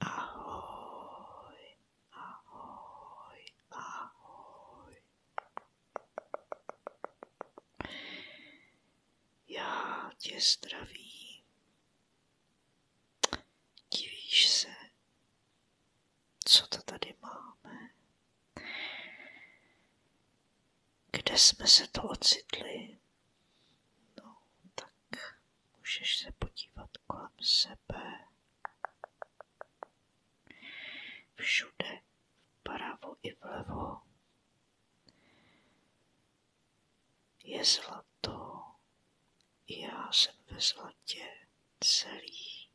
Ahoj, ahoj, ahoj. Já tě zdravím. Divíš se, co to tady máme? Kde jsme se to ocitli? No, tak tak můžeš se podívat kolem sebe. Všude, vpravo i vlevo, je zlato. Já jsem ve zlatě celý.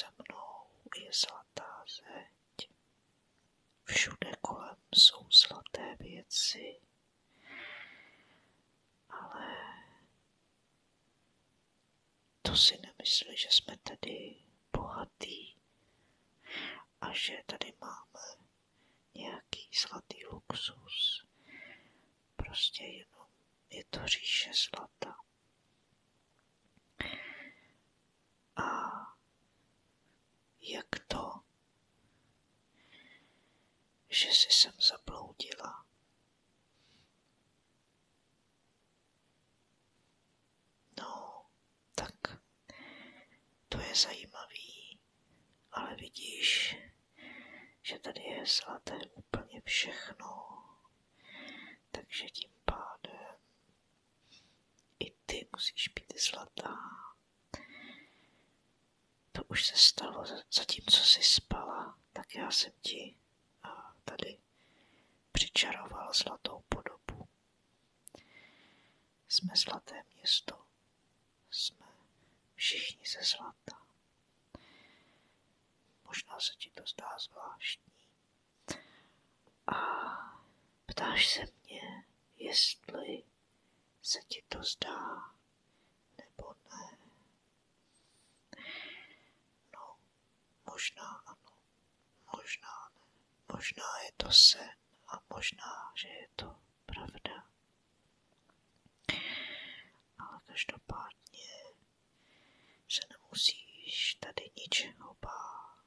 Za mnou je zlatá zeď. Všude kolem jsou zlaté věci, ale to si nemyslí, že jsme tady bohatí a že tady máme nějaký zlatý luxus. Prostě je to je to říše zlata. A jak to, že se jsem zabloudila. No, tak to je zajímavý, ale vidíš, že tady je zlaté úplně všechno, takže tím pádem i ty musíš být zlatá. To už se stalo, zatímco jsi spala, tak já jsem ti a tady přičaroval zlatou podobu. Jsme zlaté město, jsme všichni ze zlata. Možná se ti to zdá zvláštní. A ptáš se mě, jestli se ti to zdá, nebo ne. No, možná ano, možná ne. Možná je to sen a možná, že je to pravda. Ale každopádně se nemusíš tady ničeho bát.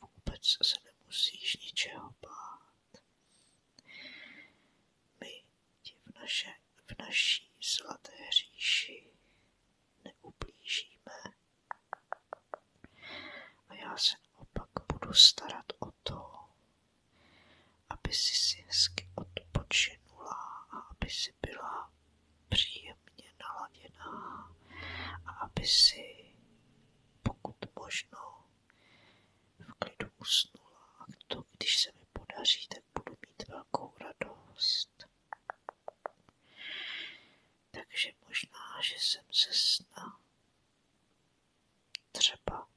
Vůbec se nemusíš ničeho bát. My ti v, naše, v naší zlaté říši neublížíme. A já se naopak budu starat o to, aby si si hezky odpočinula a aby si byla příjemná jemně naladěná a aby si pokud možno v klidu usnula. A to, když se mi podaří, tak budu mít velkou radost. Takže možná, že jsem se sna. Třeba,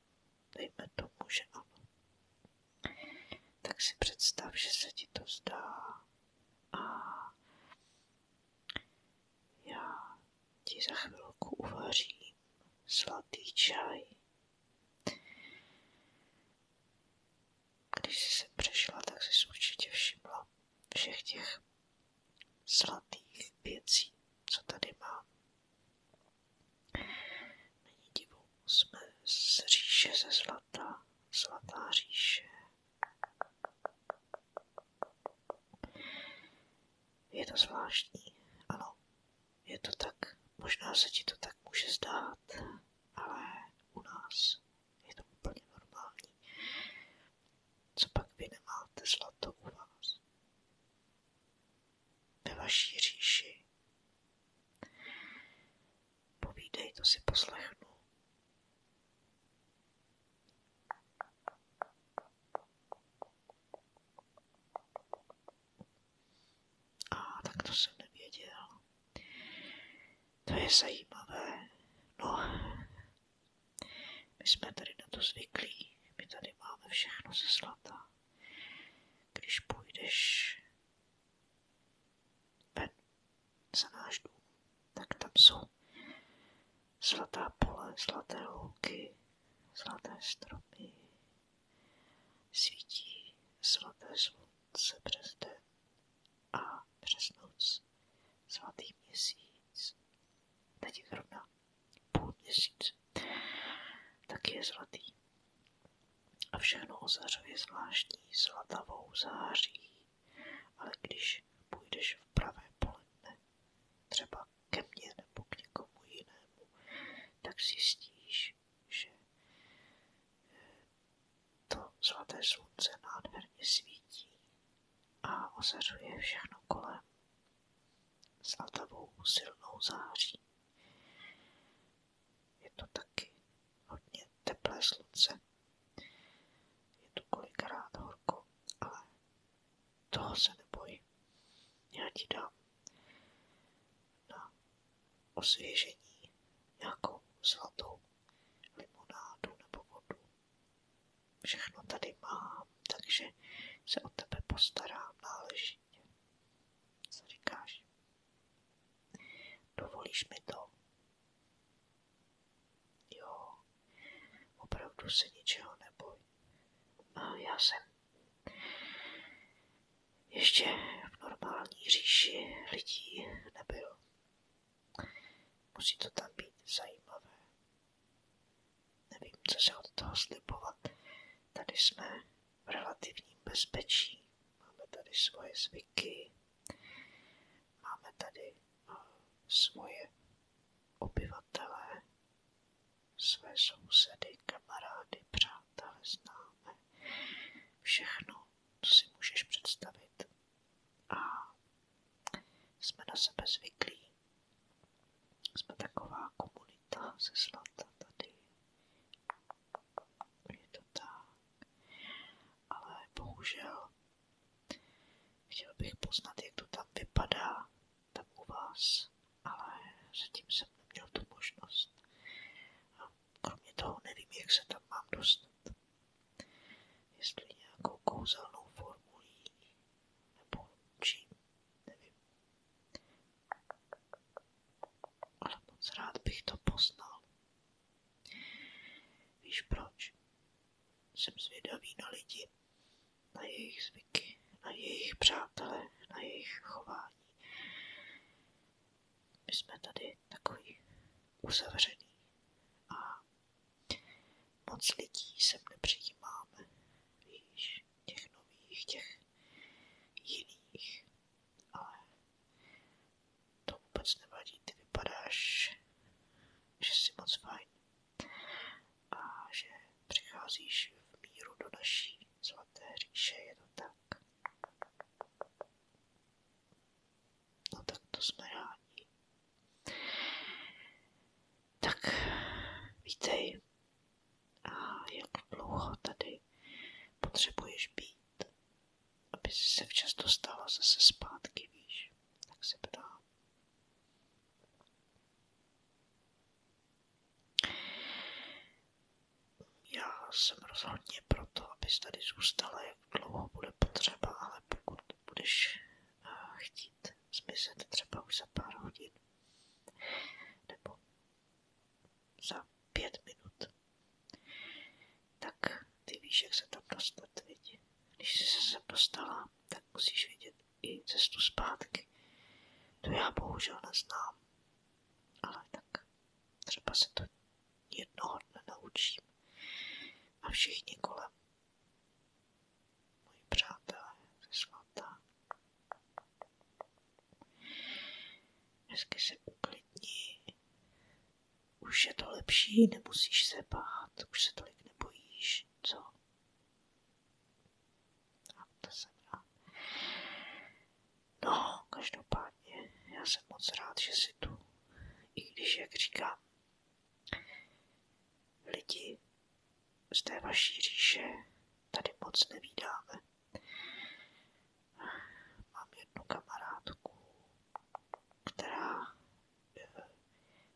dejme tomu, že ano. Tak si představ, že se ti to zdá a já ti za chvilku uvařím zlatý čaj. Když jsi se přešla, tak jsi určitě všimla všech těch zlatých věcí, co tady mám. Není jsme z říše ze zlata, zlatá říše, je to zvláštní, ano, je to tak, možná se ti to tak může zdát, ale u nás je to úplně normální. Co pak vy nemáte zlato u vás? Ve vaší říši. Povídej, to si poslechnu. A tak to jsem nevěděl. To je zajímavé. No, my jsme tady na to zvyklí. My tady máme všechno ze zlata. Když půjdeš ven za tak tam jsou zlatá pole, zlaté louky, zlaté stromy, svítí zlaté slunce přes den a přes noc zlatý měsíc. Teď je zrovna půl měsíc. Taky je zlatý. A všechno ozařuje zvláštní zlatavou září. Ale když půjdeš v pravé poledne, třeba ke mně nebo k někomu jinému, tak zjistíš, že eh, to svaté slunce nádherně svítí a ozařuje všechno kolem zlatavou silnou září. Je to taky hodně teplé Je tu kolikrát horko, ale toho se neboj. Já ti na osvěžení nějakou zlatou limonádu nebo vodu. Všechno tady mám, takže se o tebe postarám náležitě. Co říkáš? Dovolíš mi to? Jo, opravdu se ničeho neboj. Já jsem ještě v normální říši lidí nebyl. Musí to tam být zajímavé. Nevím, co se od toho slibovat. Tady jsme v relativním bezpečí. Máme tady svoje zvyky. Máme tady eh, svoje obyvatele, své sousedy, kamarády, přátelé, známe. Všechno, co si můžeš představit. A jsme na sebe zvyklí. Jsme taková komunita ze zlata tady. Ale bohužel chtěl bych poznat, jak to tam vypadá, tam u vás, ale zatím jsem neměl tu možnost. A kromě toho nevím, jak se tam mám dostat. Jestli nějakou kouzelnou formulí, nebo čím, Ale rád bych to poznal. Víš proč? Jsem zvědavý na lidi, na jejich zvyky, na jejich přátele, na jejich chování. My jsme tady takový uzavřený a moc lidí sem nepřijímáme. Víš, těch nových, těch jiných. Ale to vůbec nevadí, ty vypadáš, že jsi moc fajn a že přicházíš v míru do naší svaté říše, je to tak. No tak to jsme rádi. Tak vítej. A jak dlouho tady potřebuješ být? aby se včas dostala zase zpátky, víš, tak se ptám. Já jsem rozhodně proto, abys tady zůstala, jak dlouho bude potřeba, ale pokud budeš eh, chtít zmizet třeba už za pár hodin, nebo za pět minut, tak ty víš, jak se tam dostat, viď? Když jsi se sem dostala, tak musíš vědět i cestu zpátky. To já bohužel neznám. Ale tak třeba se to jednoho dne naučím. A všichni kolem. Moji přátelé svatá. Hezky se uklidní. Už je to lepší, nemusíš se bát, už se tolik nebojíš, co? A no, to jsem rád. No, každopádně, já jsem moc rád, že jsi tu. I když, jak říkám, lidi z té vaší říše tady moc nevídáme. Mám jednu kamarádku, která eh,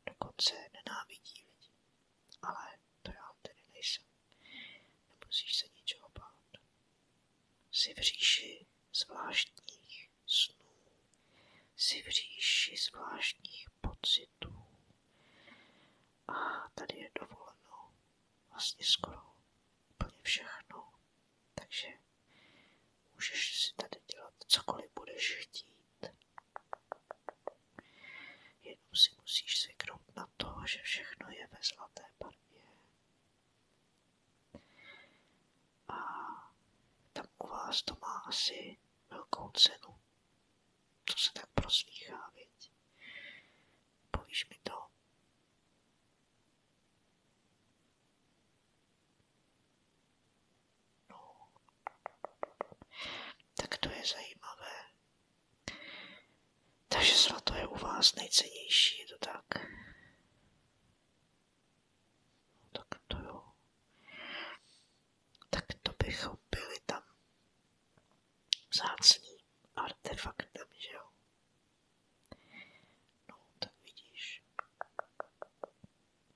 dokonce nenávidí lidi. Ale to já tedy nejsem. Nemusíš se ničeho bát. Jsi v říši zvláštních snů. Jsi v říši zvláštních pocitů. A tady je dovoleno vlastně skoro úplně všechno. Takže můžeš si tady dělat cokoliv budeš chtít. Jenom si musíš zvyknout na to, že všechno je ve zlaté barvě. A tam u vás to má asi velkou cenu. To se tak proslýchá, viď? Povíš mi to? Tak to je zajímavé. Takže zlato je u vás nejcennější, je to tak? tak to jo. Tak to bychom byli tam vzácným artefaktem, že jo? No, tak vidíš.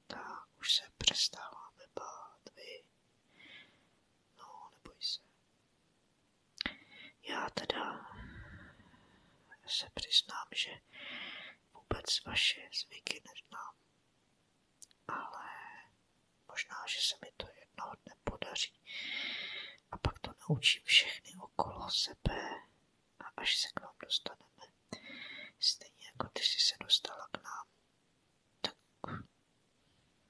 Tak, už se přestáváme bát, vy. No, neboj se. Já teda se přiznám, že vůbec vaše zvyky neznám. Ale možná, že se mi to jednoho dne podaří a pak to naučím všechny okolo sebe a až se k nám dostaneme, stejně jako ty jsi se dostala k nám, tak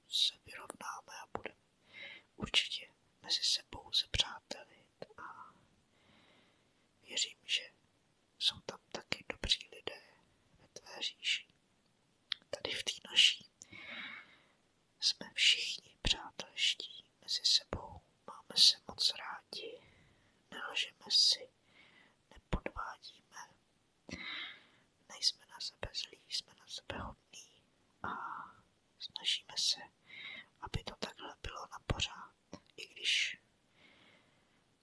se vyrovnáme a budeme určitě mezi sebou se přátelit a věřím, že jsou tam taky dobří lidé ve tvé říši. Tady v té naší jsme všichni přátelští mezi sebou, máme se moc rádi, nelžeme si, nepodvádíme, nejsme na sebe zlí, jsme na sebe hodní a snažíme se, aby to takhle bylo na pořád, i když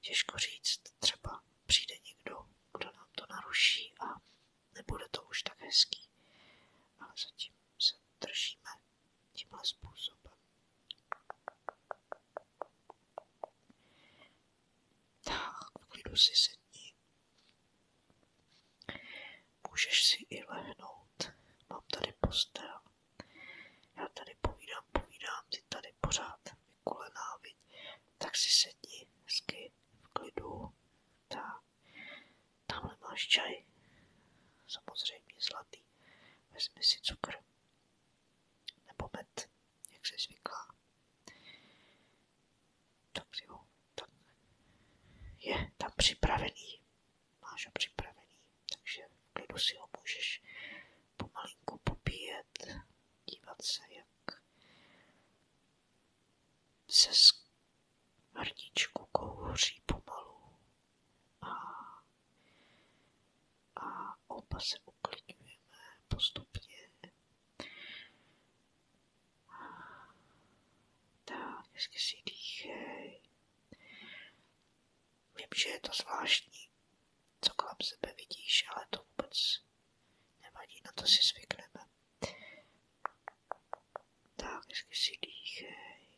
těžko říct, třeba přijde někdo, kdo nám to naruší a nebude to už tak hezký, ale zatím se držíme tímhle způsobem. Tak, v klidu si sedni. Můžeš si i lehnout. Mám tady postel. Já tady povídám, povídám, ty tady pořád vykulená, viď? Tak si sedni hezky v klidu. Tak. Tam máš čaj. Samozřejmě zlatý. Vezmi si cukr. Nebo met, jak se zvyklá. Dobře, jo. Tak je tam připravený. Máš ho připravený, takže v klidu si ho můžeš pomalinku popíjet, dívat se, jak přes hrdičku kouří pomalu a, a oba se uklidňujeme postupně. Tak, hezky si dýchej. Vím, že je to zvláštní, co kolem sebe vidíš, ale to vůbec nevadí, na to si zvykneme. Tak, hezky si dýchej.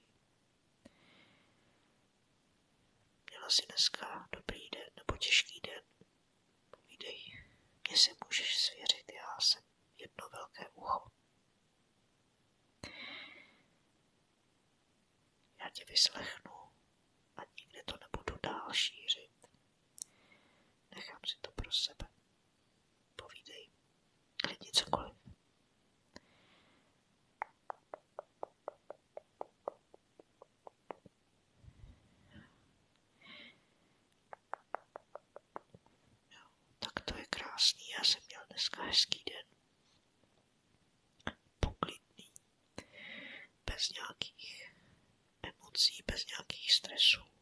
Měla vlastně si dneska dobrý den nebo těžký den. Povídej, mně se můžeš svěřit, já jsem jedno velké ucho. Já tě vyslechnu a nikde to nebudu dál šířit. Nechám si to pro sebe. Povídej. Klidně cokoliv. No, tak to krásný. Já jsem měl dneska hezký den. Poklidný. Bez nějakých emocí, bez nějakých stresů.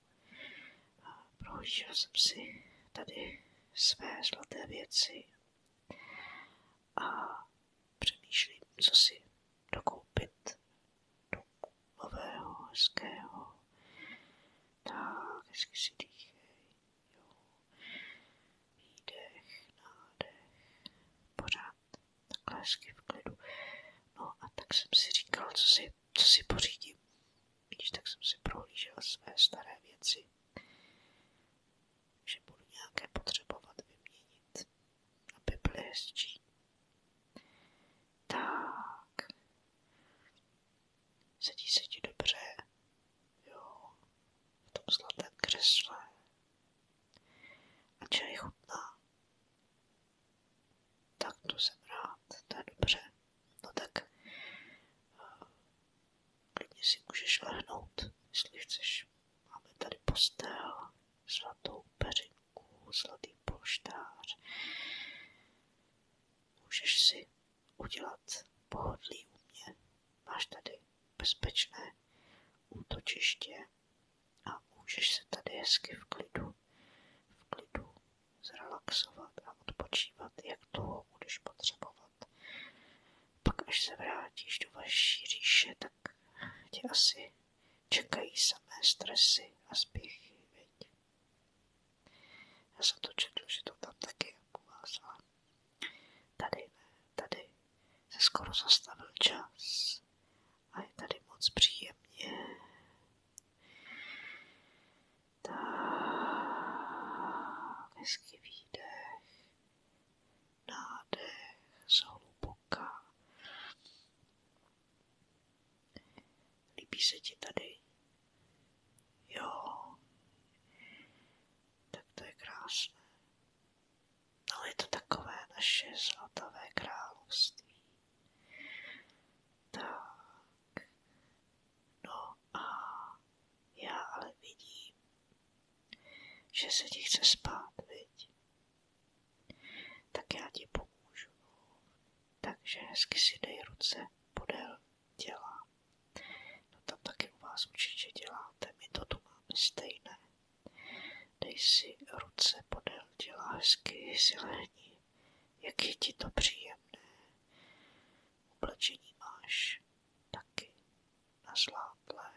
Prohlížel jsem si tady své zlaté věci a přemýšlím, co si dokoupit do nového, hezkého. Tak, hezky si dýchej. Jo. Výdech, nádech. Pořád takhle hezky v klidu. No a tak jsem si říkal, co si, co si pořídím. Když tak jsem si prohlížel své staré věci, že budu nějaké potřebovat vyměnit, aby byly hezčí. Tak. Sedí se ti dobře, jo, v tom zlatém křesle. A čaj chutná. Tak to jsem rád, to je dobře. No tak eh, klidně si můžeš lehnout, jestli chceš. Máme tady postel, zlatou peřinku, zlatý polštář. Můžeš si udělat pohodlí u mě. Máš tady bezpečné útočiště a můžeš se tady hezky v klidu, v klidu zrelaxovat a odpočívat, jak dlouho budeš potřebovat. Pak, až se vrátíš do vaší říše, tak tě asi čekají samé stresy a spěchy, Já jsem to četl, že to tam taky je jako povázala. Tady tady se skoro zastavil čas a je tady moc příjemně tak, hezky výdech, nádech, zhluboka. Líbí se ti tady? Jo. Tak to je krásné. Ale je to takové naše zlatavé království. Tak. No a já ale vidím, že se ti chce spát, viď? Tak já ti pomůžu. Takže hezky si dej ruce podél těla. No tam taky u vás určitě děláte, my to tu máme stejné. Dej si ruce podél těla, hezky si lehni. Jak je ti to příjemné. Oblečení máš taky na nazlátlé,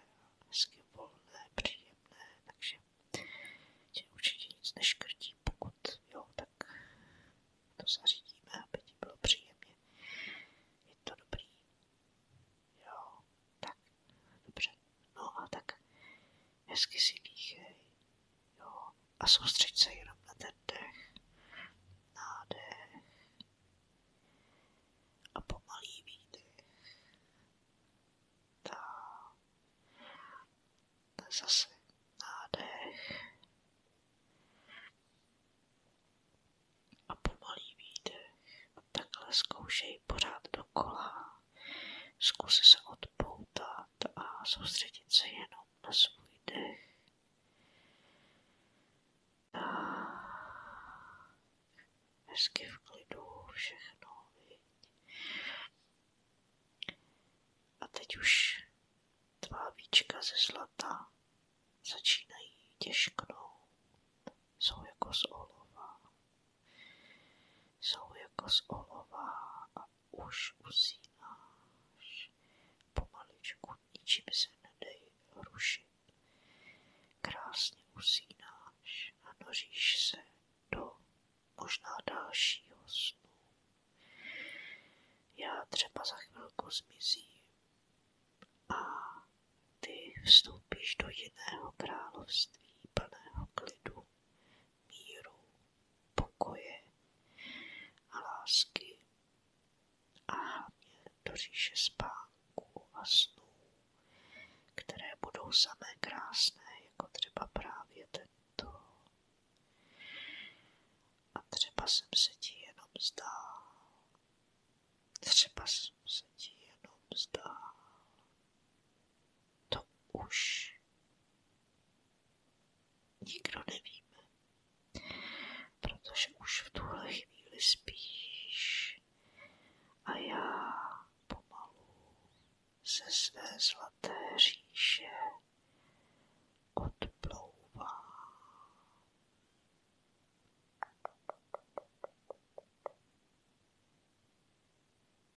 hezky volné, příjemné, takže tě určitě nic neškrtí, pokud jo, tak to zařídíme, aby ti bylo příjemně. Je to dobrý. Jo, tak, dobře. No a tak hezky si dýchej, Jo, a soustřeď se jenom na ten dech, nádech a pomalý výdech. Tak. Zase nádech a pomalý výdech. Takhle zkoušej pořád dokola. Zkus se odpoutat dýchat a soustředit se jenom na svůj dech. Tak. Hezky v klidu všechno, A teď už tvá víčka ze zlata začínají těžknout. Jsou jako z olova. Jsou jako z olova a už usínáš pomaličku, ničím se nedej rušit. Krásně usínáš a noříš se do možná dalšího snu. Já třeba za chvilku zmizím a ty vstoupíš do jiného království plného klidu, míru, pokoje a a hlavně do a snů, které budou samé krásné, jako třeba právě tento. A třeba jsem se ti jenom zdál, třeba jsem se ti jenom zdál to už nikdo nevíme, protože už v tuhle chvíli spíš a já pomalu ze své zlaté říše odplouvám.